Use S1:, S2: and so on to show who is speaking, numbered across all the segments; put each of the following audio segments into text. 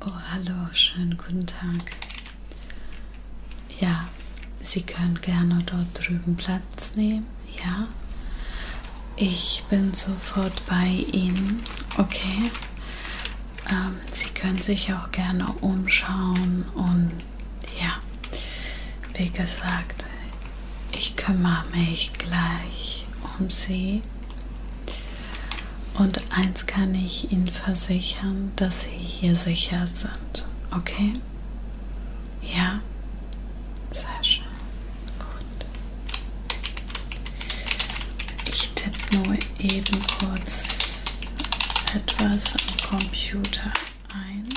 S1: Oh, hallo, schönen guten Tag. Ja, Sie können gerne dort drüben Platz nehmen. Ja, ich bin sofort bei Ihnen. Okay. Ähm, Sie können sich auch gerne umschauen und ja, wie gesagt, ich kümmere mich gleich um Sie. Und eins kann ich Ihnen versichern, dass Sie hier sicher sind. Okay? Ja? Sehr schön. Gut. Ich tippe nur eben kurz etwas am Computer ein. Gut.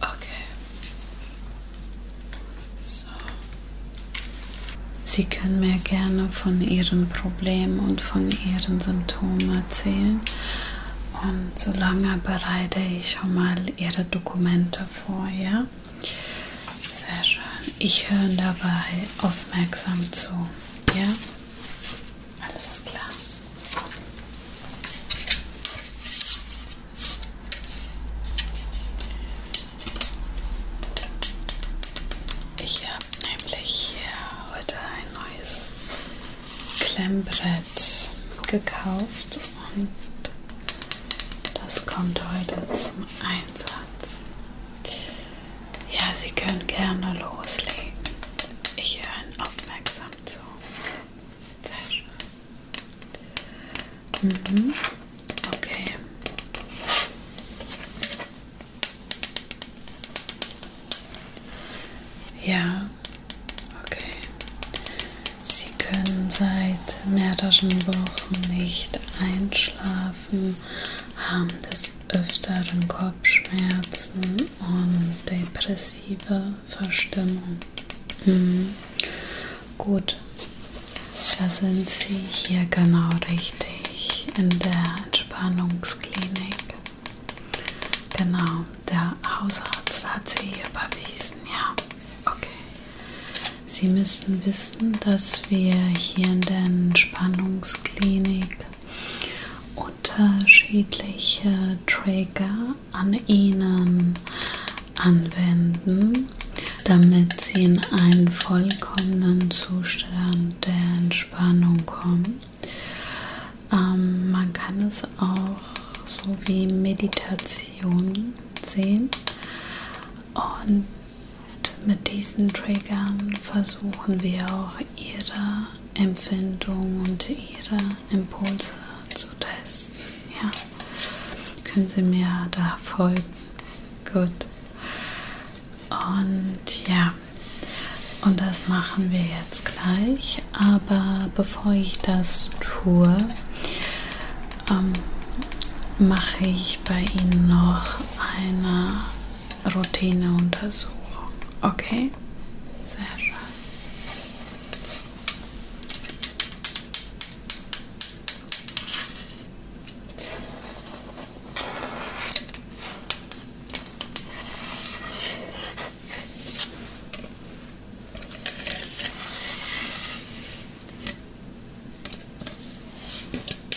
S1: Okay. So. Sie können mir gerne von Ihren Problemen und von Ihren Symptomen erzählen. Und solange bereite ich schon mal Ihre Dokumente vor, ja? Sehr schön. Ich höre dabei aufmerksam zu. Ja? Alles klar. Ich habe nämlich hier heute ein neues Klemmbrett gekauft und das kommt heute zum Einsatz. Ja, Sie können gerne loslegen. Ich höre Ihnen aufmerksam zu. Sehr schön. Mhm. Okay. Ja, okay. Sie können seit mehreren Wochen nicht einschlafen. Schlafen, haben des Öfteren Kopfschmerzen und depressive Verstimmung. Mhm. Gut, da sind Sie hier genau richtig in der Entspannungsklinik. Genau, der Hausarzt hat Sie hier überwiesen, ja. Okay. Sie müssten wissen, dass wir hier in der Entspannungsklinik unterschiedliche Trigger an Ihnen anwenden, damit Sie in einen vollkommenen Zustand der Entspannung kommen. Ähm, man kann es auch so wie Meditation sehen und und mit diesen Triggern versuchen wir auch ihre Empfindung und ihre Impulse zu testen. Ja. Können Sie mir da folgen? Gut. Und ja. Und das machen wir jetzt gleich. Aber bevor ich das tue, ähm, mache ich bei Ihnen noch einer Routineuntersuchung. Okay? Sehr schön.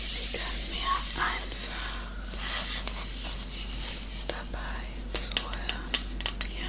S1: Sie kann mir einfach dabei zuhören. Ja.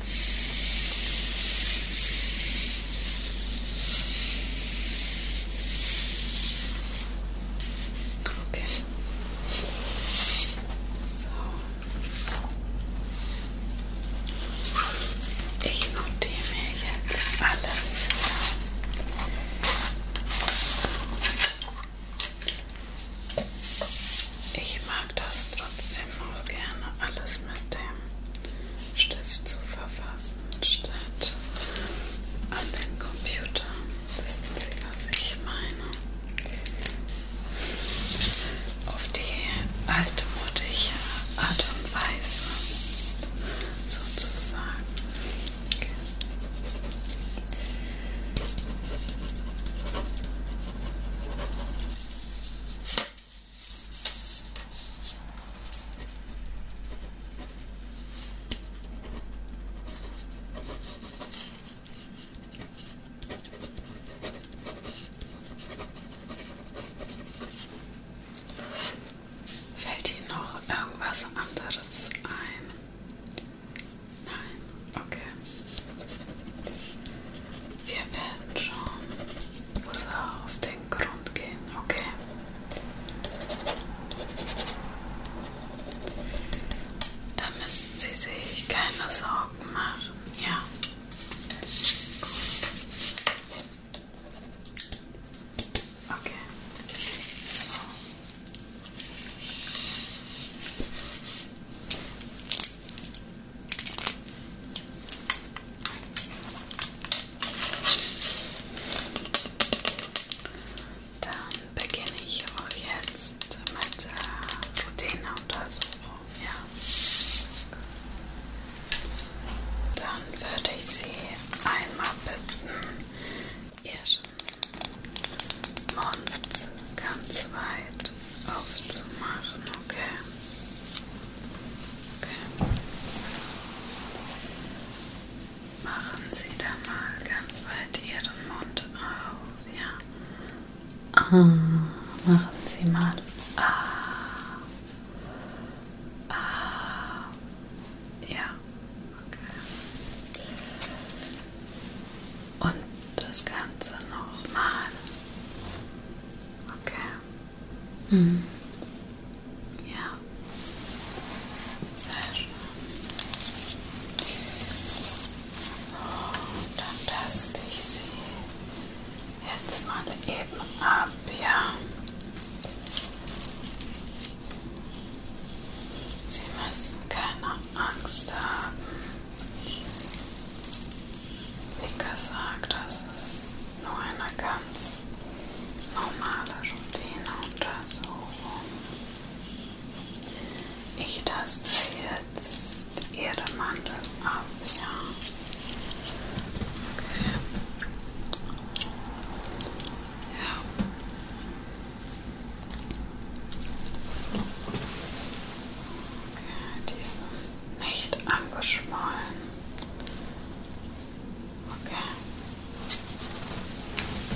S1: Okay. So. Ich notiere mir jetzt alles. Ich mag das trotzdem noch gerne alles mit dem Stift zu verfassen, statt an den Computer. Wissen Sie, was ich meine? Auf die altmodische Art und Weise, sozusagen. Okay. Fällt Ihnen noch irgendwas anderes ein? Nein, okay. Wir werden schon auf den Grund gehen, okay? Da müssen Sie sich keine Sorgen machen, ja? Gut. Okay. So. Dann beginne ich auch jetzt mit äh, der Proteinuntersuchung. Ja. Dann würde ich Sie einmal bitten, Ihren Mund ganz weit aufzumachen, okay? Okay. Machen Sie da mal ganz weit Ihren Mund auf, ja. Ah, machen Sie mal. Ah. Ah. Ja. Okay. Und das Ganze nochmal. Okay. Mhm. Ja. Sehr schön. Und dann taste ich sie jetzt mal eben ab, ja. Sie müssen keine Angst haben. Wie gesagt, das ist nur eine ganz normale Routineuntersuchung. Also, ähm, ich taste jetzt Ihre Mandel ab, ja. Okay. Ja. Okay, die sind nicht angeschwollen. Okay.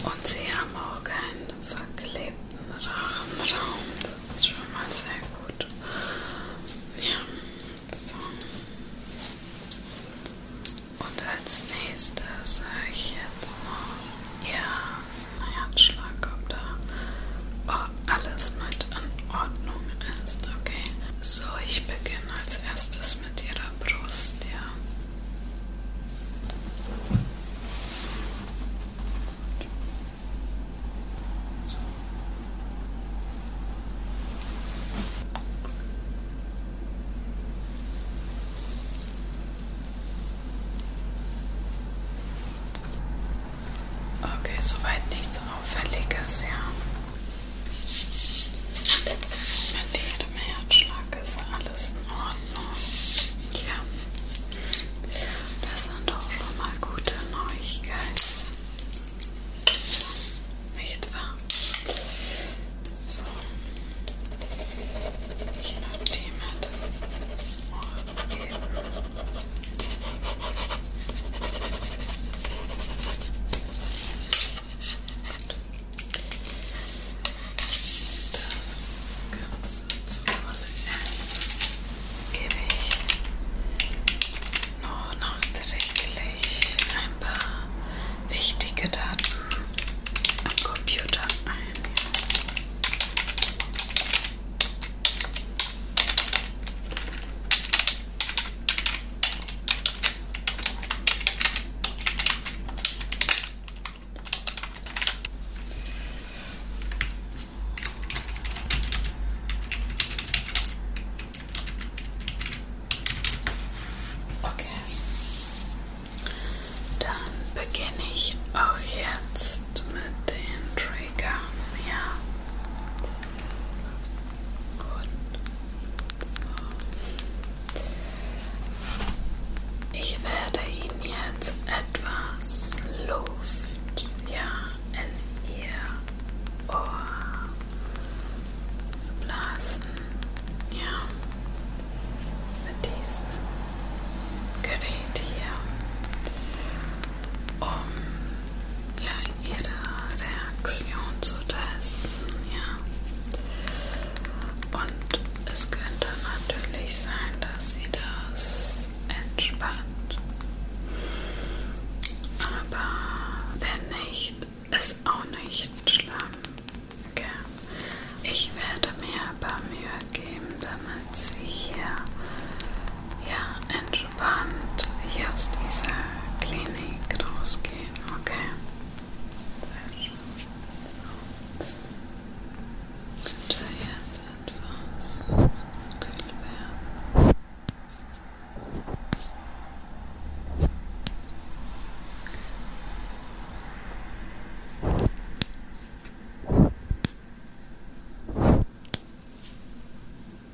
S1: Und sie haben auch keinen verklebten Rachenraum. Das ist schon mal sehr gut. Ja. So. Und als nächstes höre ich jetzt noch ihren Herzschlag, ob da auch alles mit in Ordnung ist. Okay. So, ich beginne als erstes mit Ihrer Brust, ja. So. Okay, soweit nichts Auffälliges, ja. Mit jedem Herzschlag ist alles in Ordnung. Ja, das sind doch schon mal gute Neuigkeiten. Nicht wahr? So, ich notiere mir das noch eben. Das Ganze zuallererst gebe ich noch nachträglich ein paar wichtige Daten am Computer ein. Okay. Dann beginne ich auch jetzt mit den Trigger. Ja. Gut. So. Ich werde Ihnen jetzt etwas Luft ja, in Ihr Ohr blasen. Ja. Mit diesem Gerät hier. Um ja, ihre Reaktion zu testen. Ja. Und es könnte natürlich sein, dass sie das entspannt. Aber wenn nicht, ist auch nicht schlimm. Okay. Ich werde mir ein paar Mühe geben, damit sie hier ja, entspannt entspannt hier aus dieser Klinik rausgehen, okay? Sehr schön. So. Sind wir jetzt etwas kühl werden? Okay. Gut,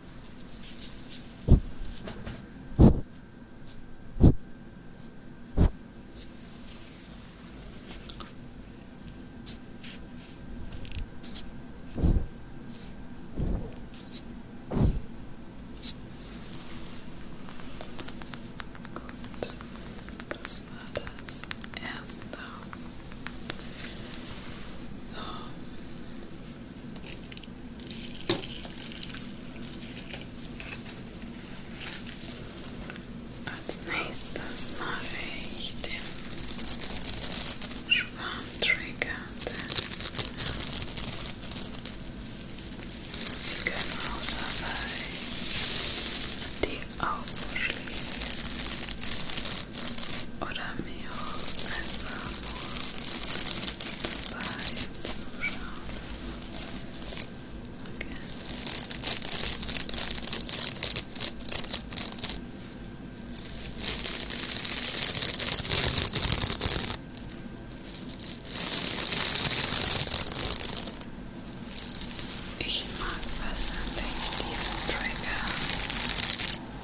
S1: das war das erste. So. Als nächstes mache ich den Schwarmtrigger. Sie können auch dabei die Augen schließen oder mir auch einfach nur dabei zuschauen. Okay. Ich mag persönlich diesen Trigger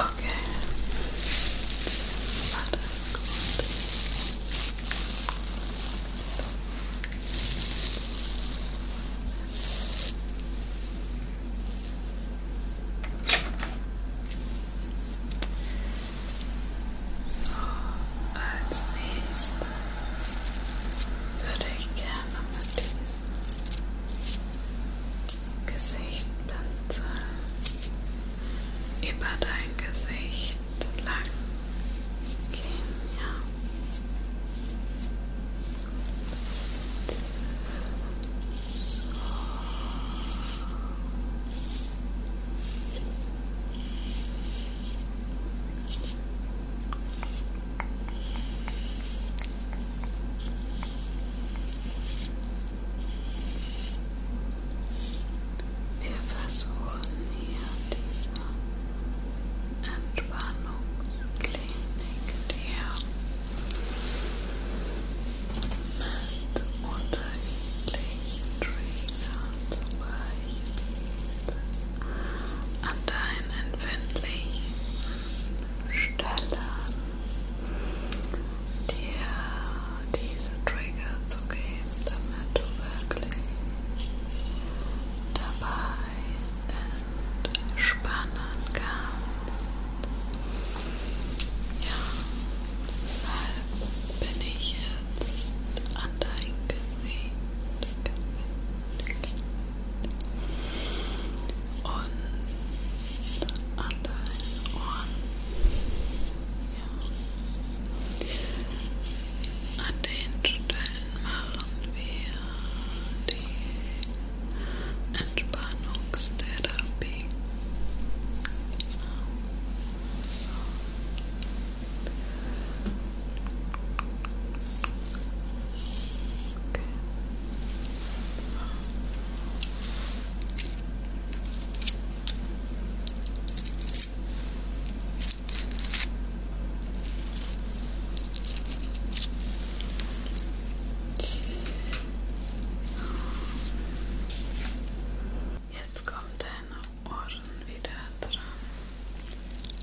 S1: Okay. That is good. So als nächstes würde ich gerne mit diesem Gesicht pinseln. über dein Gesicht lang gehen. Ja. So. Wir versuchen hier diese Entspannungsklinik, die mit unterschiedlichen Triggern zum Beispiel an deinen empfindlichen Stellen dir diese Trigger zu geben, damit du wirklich dabei entspannen kannst. Ja, deshalb bin ich jetzt an dein Gesicht und an deinen Ohren, ja. an den Stellen machen wir die Entspannungstherapie. Genau. So. Okay. Jetzt kommen deine Ohren wieder dran. Okay.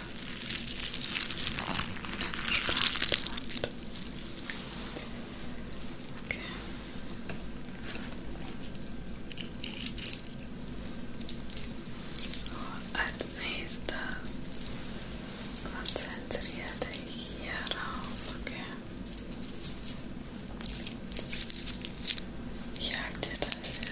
S1: Spannend. Okay. So, als nächstes konzentriere dich hier drauf, okay? Ich halte dir das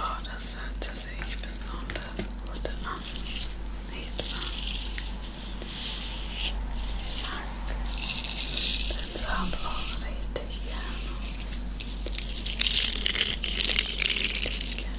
S1: Oh, das hörte sich besonders gut an. Nicht wahr? Ich mag den Sound auch richtig gerne. Richtig gerne.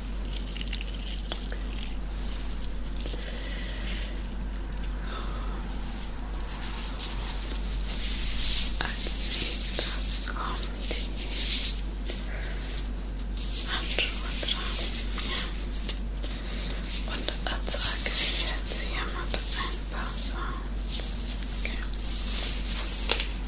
S1: Als nächstes kommt die Handschuhe dran. Ja. Und erzeuge jetzt hier mit ein paar Sounds. Okay.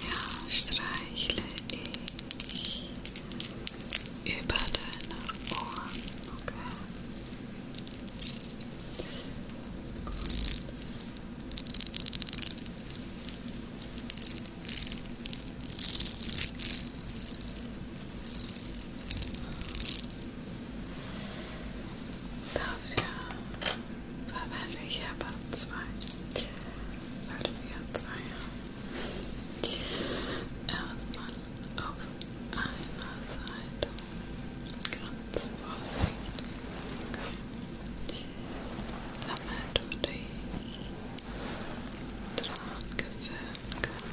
S1: Ja, streichle ik über deine Ohren, okay? Dafür verwende ich zwei. Warte, wir haben zwei. Erstmal auf einer Seite ganz vorsichtig. Okay. Damit du dich dran gewöhnen kannst. Ja.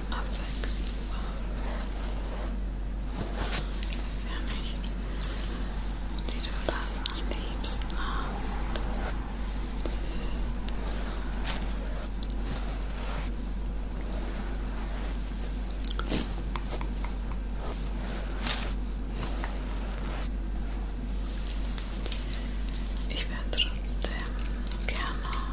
S1: abwechselbar. Sehr ja nicht, wie du das am liebsten hast. Ich werde trotzdem gerne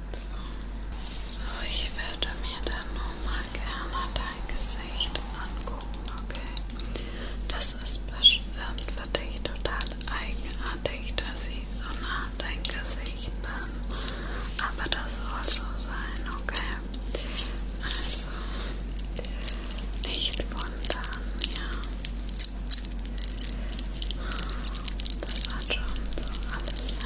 S1: So, ich werde mir dann nochmal gerne dein Gesicht angucken, okay? Das ist ähm, für dich total eigenartig, dass ich so nah an dein Gesicht bin. Aber das soll so sein, okay? Also, nicht wundern, ja. Das hat schon so alles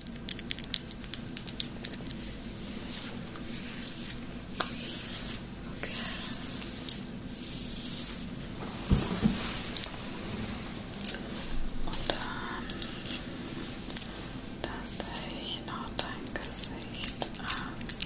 S1: Okay. Und dann, dass der hier noch dein Gesicht an. Okay.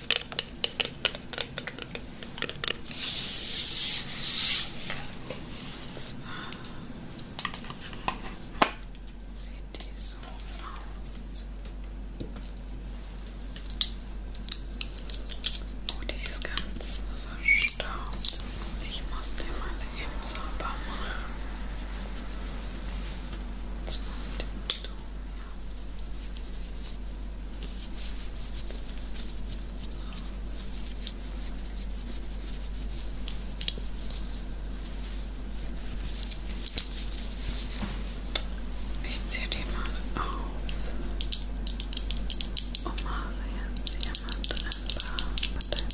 S1: Und zwar sieht die so aus. Gut, ich ist ganz verstaubt. Ich muss den mal eben sauber machen. Jetzt du, ja. Ich ziehe die mal auf. Oh Marian, jemand drin war bei deinem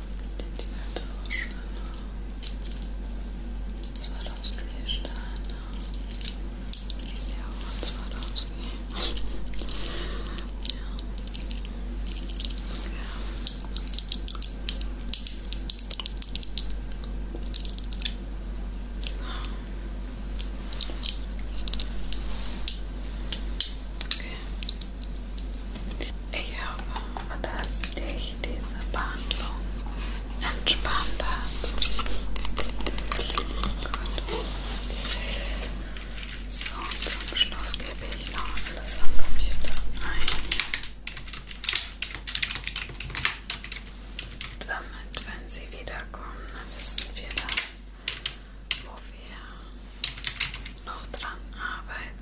S1: Swarovski Steine. Ich sehe auch von Swarovski. ja. ja. So. Okay. Ich hoffe, dass dich diese Behandlung entspannt hat. Gut. So, und zum Schluss gebe ich noch alles am Computer ein. Damit, wenn sie wiederkommen, wissen wir dann, wo wir noch dran arbeiten.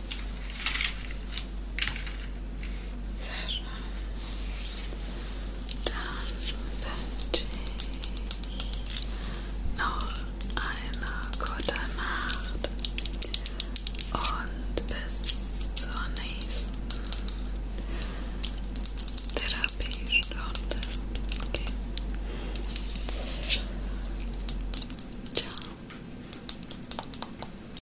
S1: Sehr schön. Dann wünsche ich noch eine gute Nacht und bis zur nächsten Therapiestunde. Okay. Ciao.